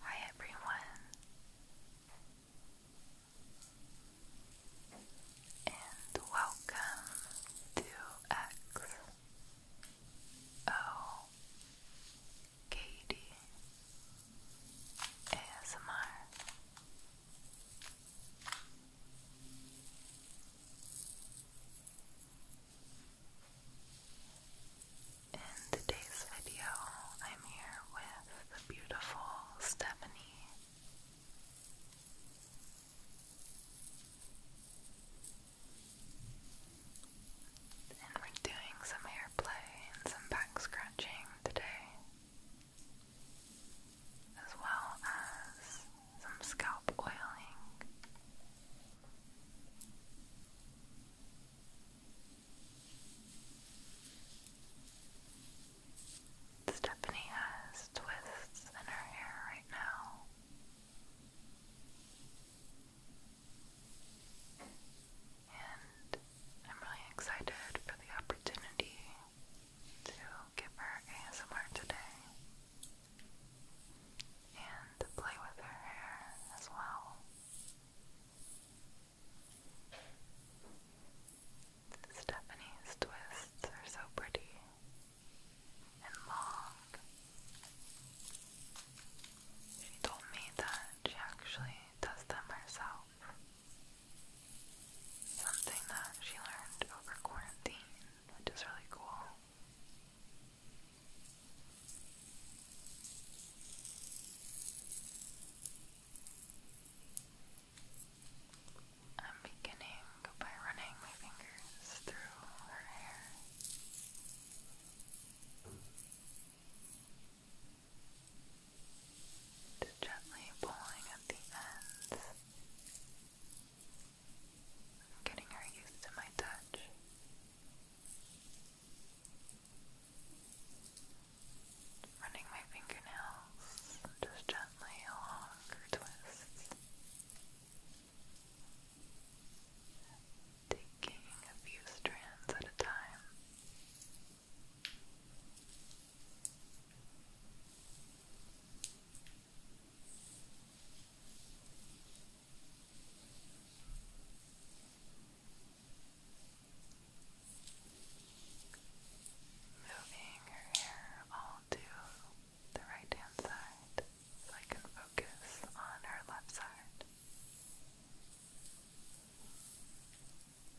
Hi everyone, and welcome to X O Katie ASMR. In today's video, I'm here with the beautiful Stephanie. And we're doing some hair play and some back scratching today as well as some scalp oiling. Stephanie has twists in her hair right now. And I'm really excited for the opportunity to give her ASMR today and play with her hair as well. Stephanie's twists are so pretty and long. She told me that she actually does them herself something that she learned over quarantine, which is really cool. I'm beginning by running my fingers through her hair. Just gently pulling at the ends. getting her used to my touch. Running my fingernails just gently along her twists. Taking a few strands at a time. Moving her hair all to the right hand side so I can focus on her left side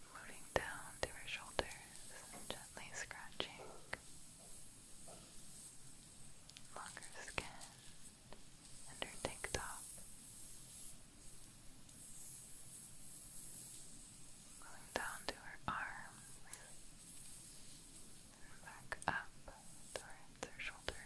floating down to her shoulders, gently scratching longer skin and her tank top. Going down to her arms and back up towards her shoulders.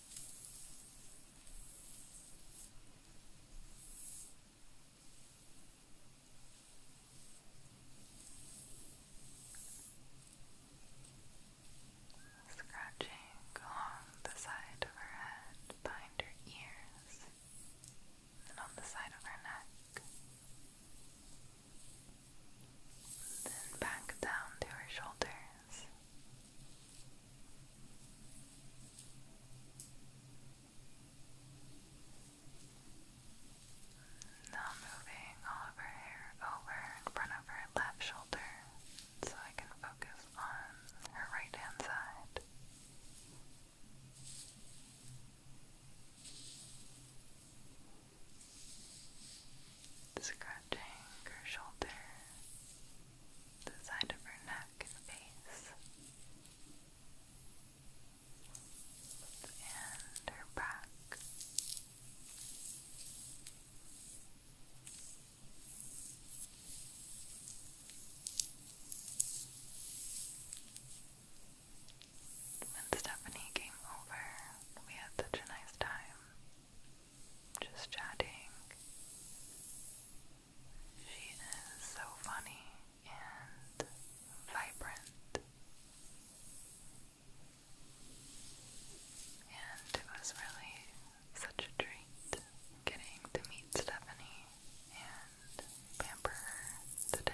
Scratching along the side of her head, behind her ears, and on the side of her neck. Then back down to her shoulders. Now moving all of her hair over in front of her left shoulder so I can focus on her right hand side. Scratching her shoulder the side of her neck and face, and her back. When Stephanie came over, we had such a nice time just chatting she is so funny and vibrant. And it was really such a treat getting to meet Stephanie and pamper her today.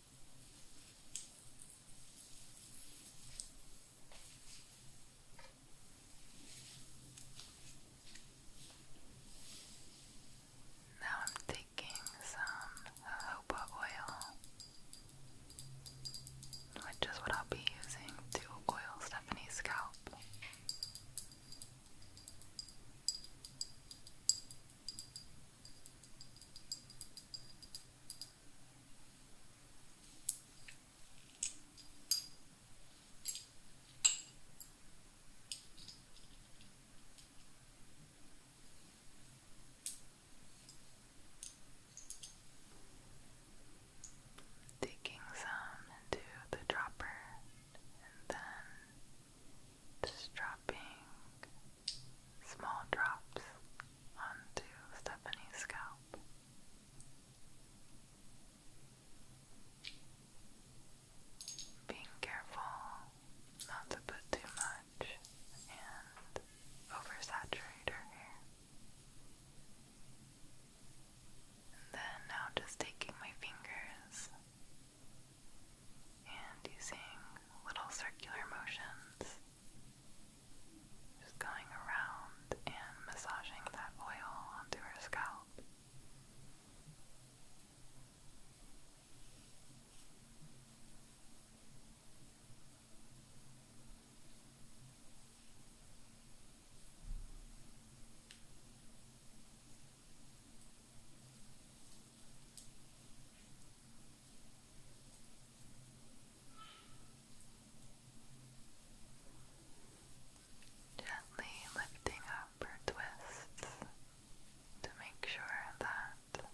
Now I'm taking some jojoba oil, which is what I'll be using to oil Stephanie's scalp. Taking some into the dropper and then just dropping small drops onto Stephanie's scalp. Being careful not to put too much and oversaturate her hair. then now just taking my fingers and using little circular motions just going around and massaging that oil onto her scalp. Gently lifting up her twists to make sure that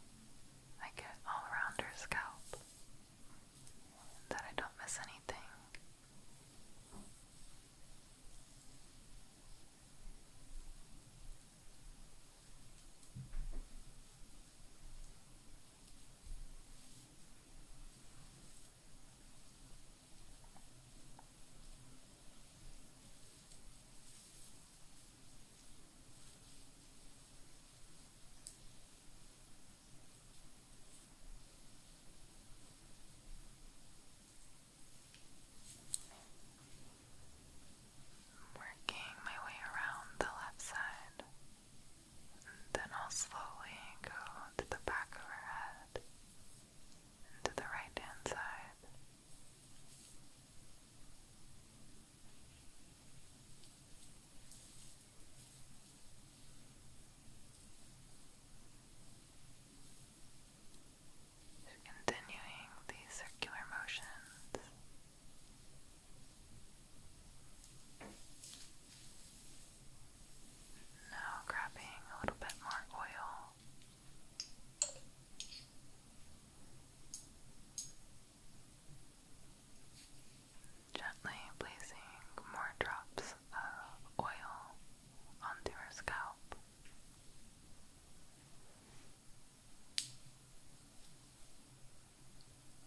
I get all around her scalp, that I don't miss anything. Working my way around the left side. And then I'll slowly go to the back of her head and to the right hand side. Continuing these circular motions now, grabbing a little bit more oil. Gently placing more drops of oil onto her scalp.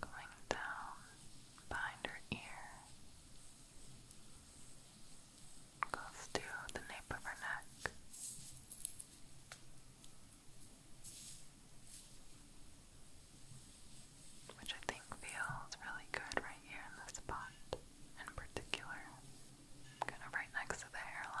going down behind her ear, goes to the nape of her neck. Which I think feels really good right here in this spot, in particular, kind right next to the hairline.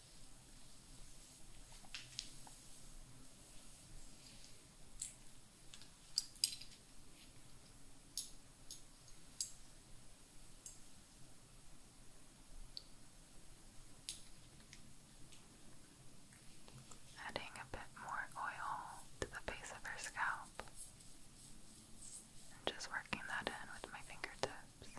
Adding a bit more oil to the base of her scalp and just working that in with my fingertips.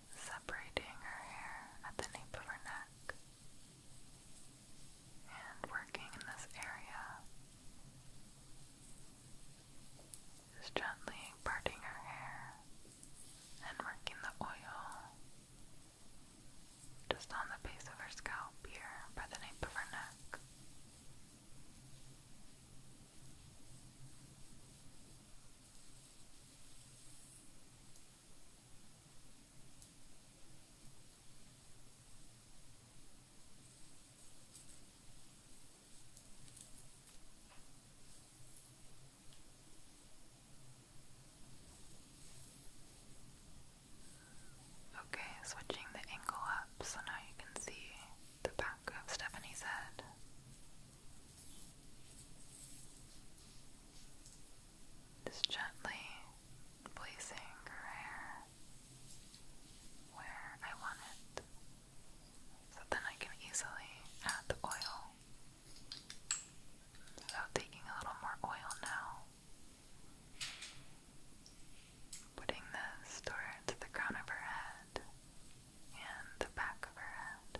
separating her hair at the nape of her neck and working in this area, just gently parting her hair and working the oil just on the base of her scalp here by the nape of her neck. Okay, switching the angle up so now you can see the back of Stephanie's head. Just gently placing her hair where I want it so then I can easily add the oil without taking a little more oil now. Putting this towards the crown of her head and the back of her head.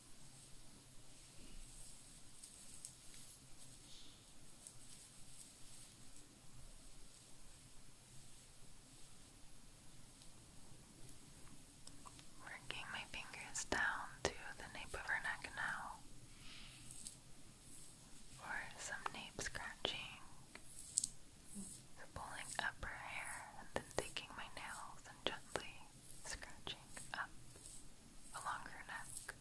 Working my fingers down to the nape of her neck now for some nape scratching. pulling up her hair and then taking my nails and gently scratching up along her neck.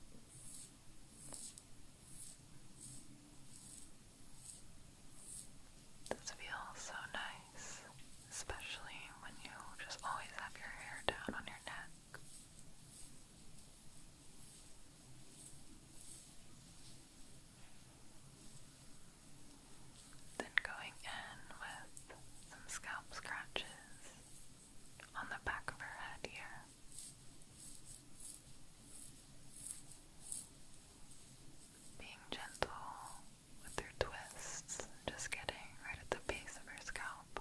This feels so nice, especially when you just always have your hair down on your neck. Then going in with some scalp scratches on the back of her head here. Being gentle with her twists, just getting right at the base of her scalp.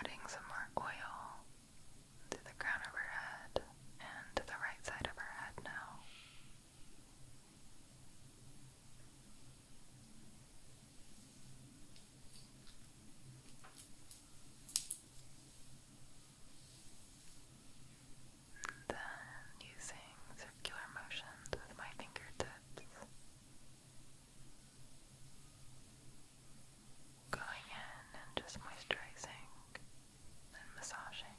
Adding some more oil to the crown of her head and to the right side of her head now. Then using circular motions with my fingertips, going in and just moisturizing and massaging.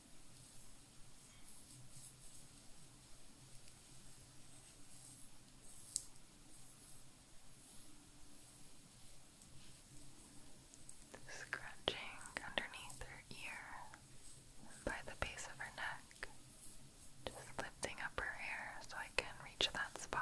Scratching underneath her ear by the base of her neck, just lifting up her hair so I can reach that spot.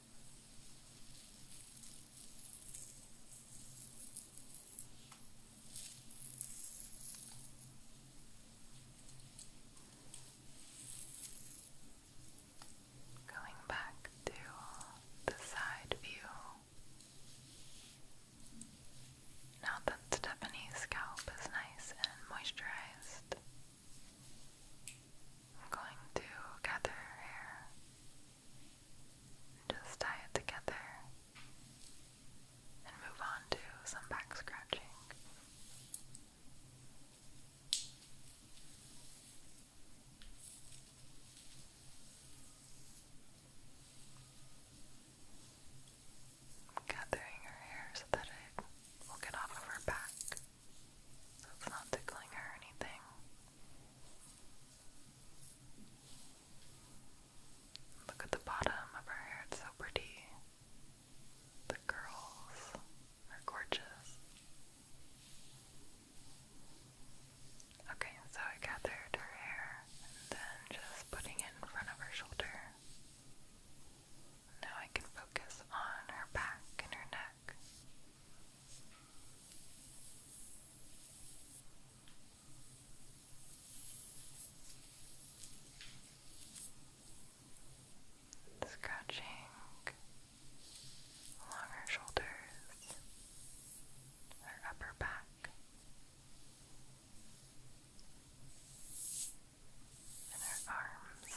Going back to the side view. Now that Stephanie's scalp is nice and moisturized, I'm going to gather her hair just tie it together and move on to some back scratching. Gathering her hair so that it will get off of her back. That's not tickling her or anything. Look at the bottom of her hair, it's so pretty. The curls are gorgeous. Okay, so I gathered her hair and then just putting it in front of her shoulder. Now I can focus on her back and her neck. Scratching along her shoulders, her upper back, and her arms.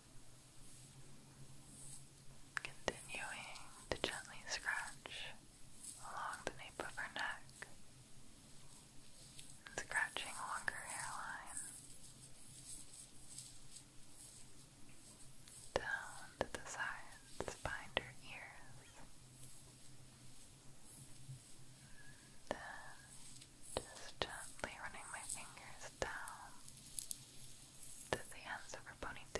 Continuing to gently scratch along the nape of her neck, scratching along her hairline, down to the sides behind her ears, then just gently running my fingers down to the ends of her ponytail.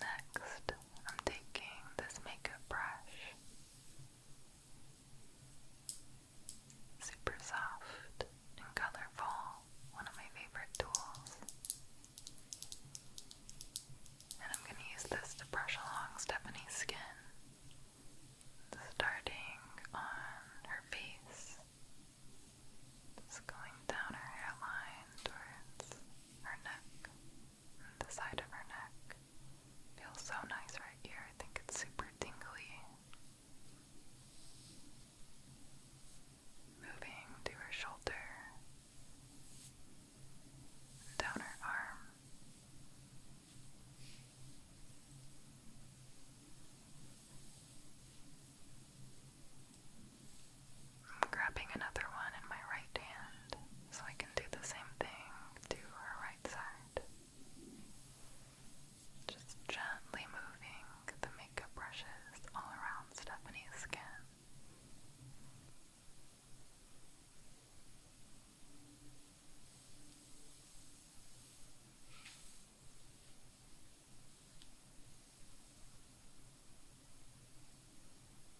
Next, I'm taking this makeup brush. Super soft and colorful, one of my favorite tools. And I'm going to use this to brush along Stephanie's skin, starting on her face, just going down her hairline towards her neck the side of her neck. Feels so nice right here. I think it's super tingly. Moving to her shoulder, down her arm. I'm grabbing another one in my right hand so I can do the same thing to her right side. Just gently moving the makeup brushes all around Stephanie's skin.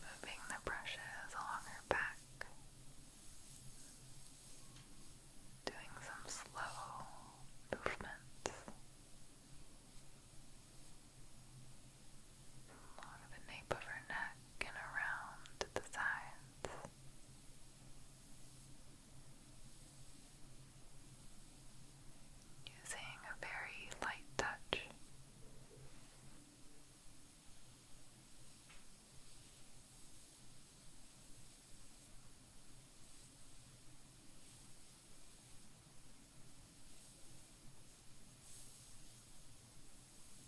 Moving the brushes along her back, doing some slow movements along the nape of her neck back and around the sides. Using a very light touch.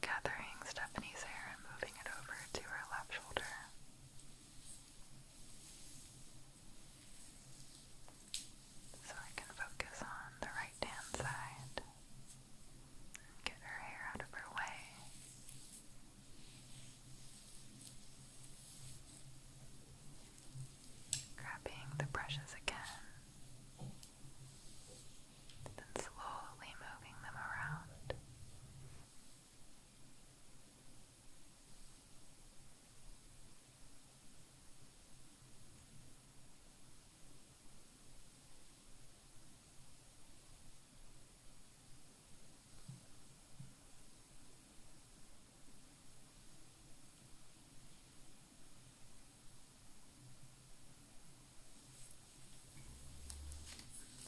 gathering Stephanie's hair and moving it over to her left shoulder. So I can focus on the right hand side and get her hair out of her way. Grabbing the brushes again then slowly moving them around.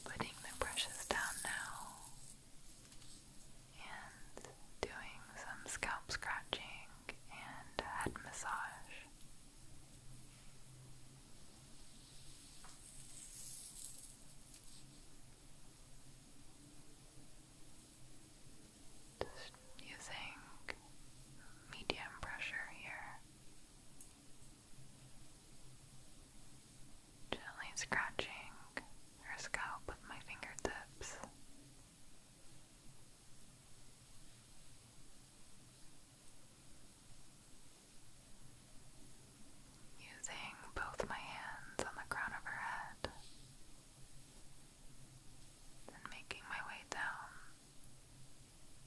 Putting the brushes down now and doing some scalp scratching and head massage. Just using medium pressure here Gently scratching her scalp with my fingertips. Using both my hands on the crown of her head, then making my way down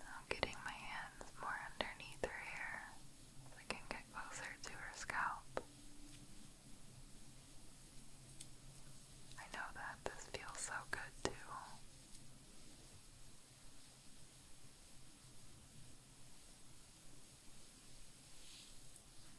I'm getting my hands more underneath her hair so I can get closer to her scalp. I know that this feels so good too.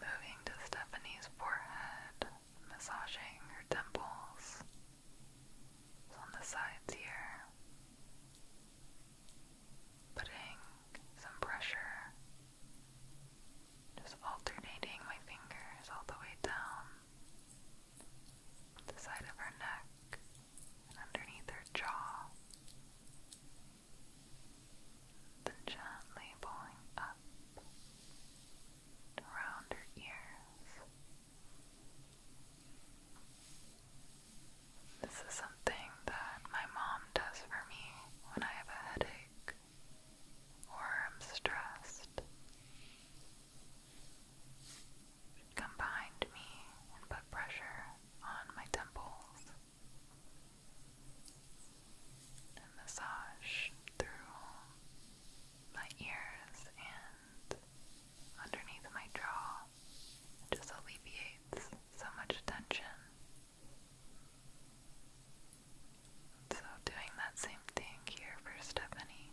Moving to Stephanie's forehead, massaging her temples on the sides here, putting some pressure, just alternating my fingers all the way down the side of her neck underneath her jaw. Then gently pulling up around her ears. This is something that my mom does for me when I have a headache or I'm stressed come behind me and put pressure on my temples massage through my ears and underneath my jaw. just alleviates so much tension. So, doing that same thing here for Stephanie.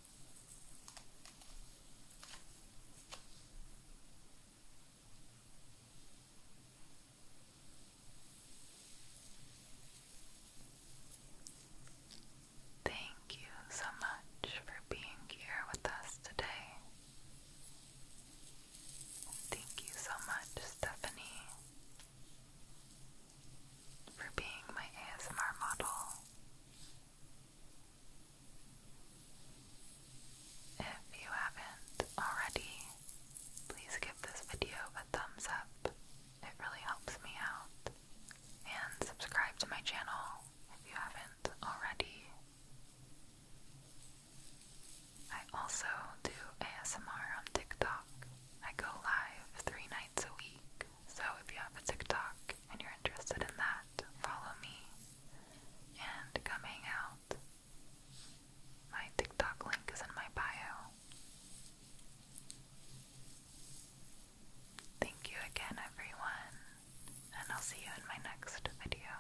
Thank you so much for being here with us today. Thank you so much, Stephanie for being my ASMR model. If you haven't already, please give this video a thumbs up. It really helps me out. And subscribe to my channel if you haven't already. I also do ASMR on TikTok. I go live three nights a week so if you have a TikTok and you're interested in that, follow me and come hang out. My TikTok link is in my bio. Thank you again, everyone, and I'll see you in my next video.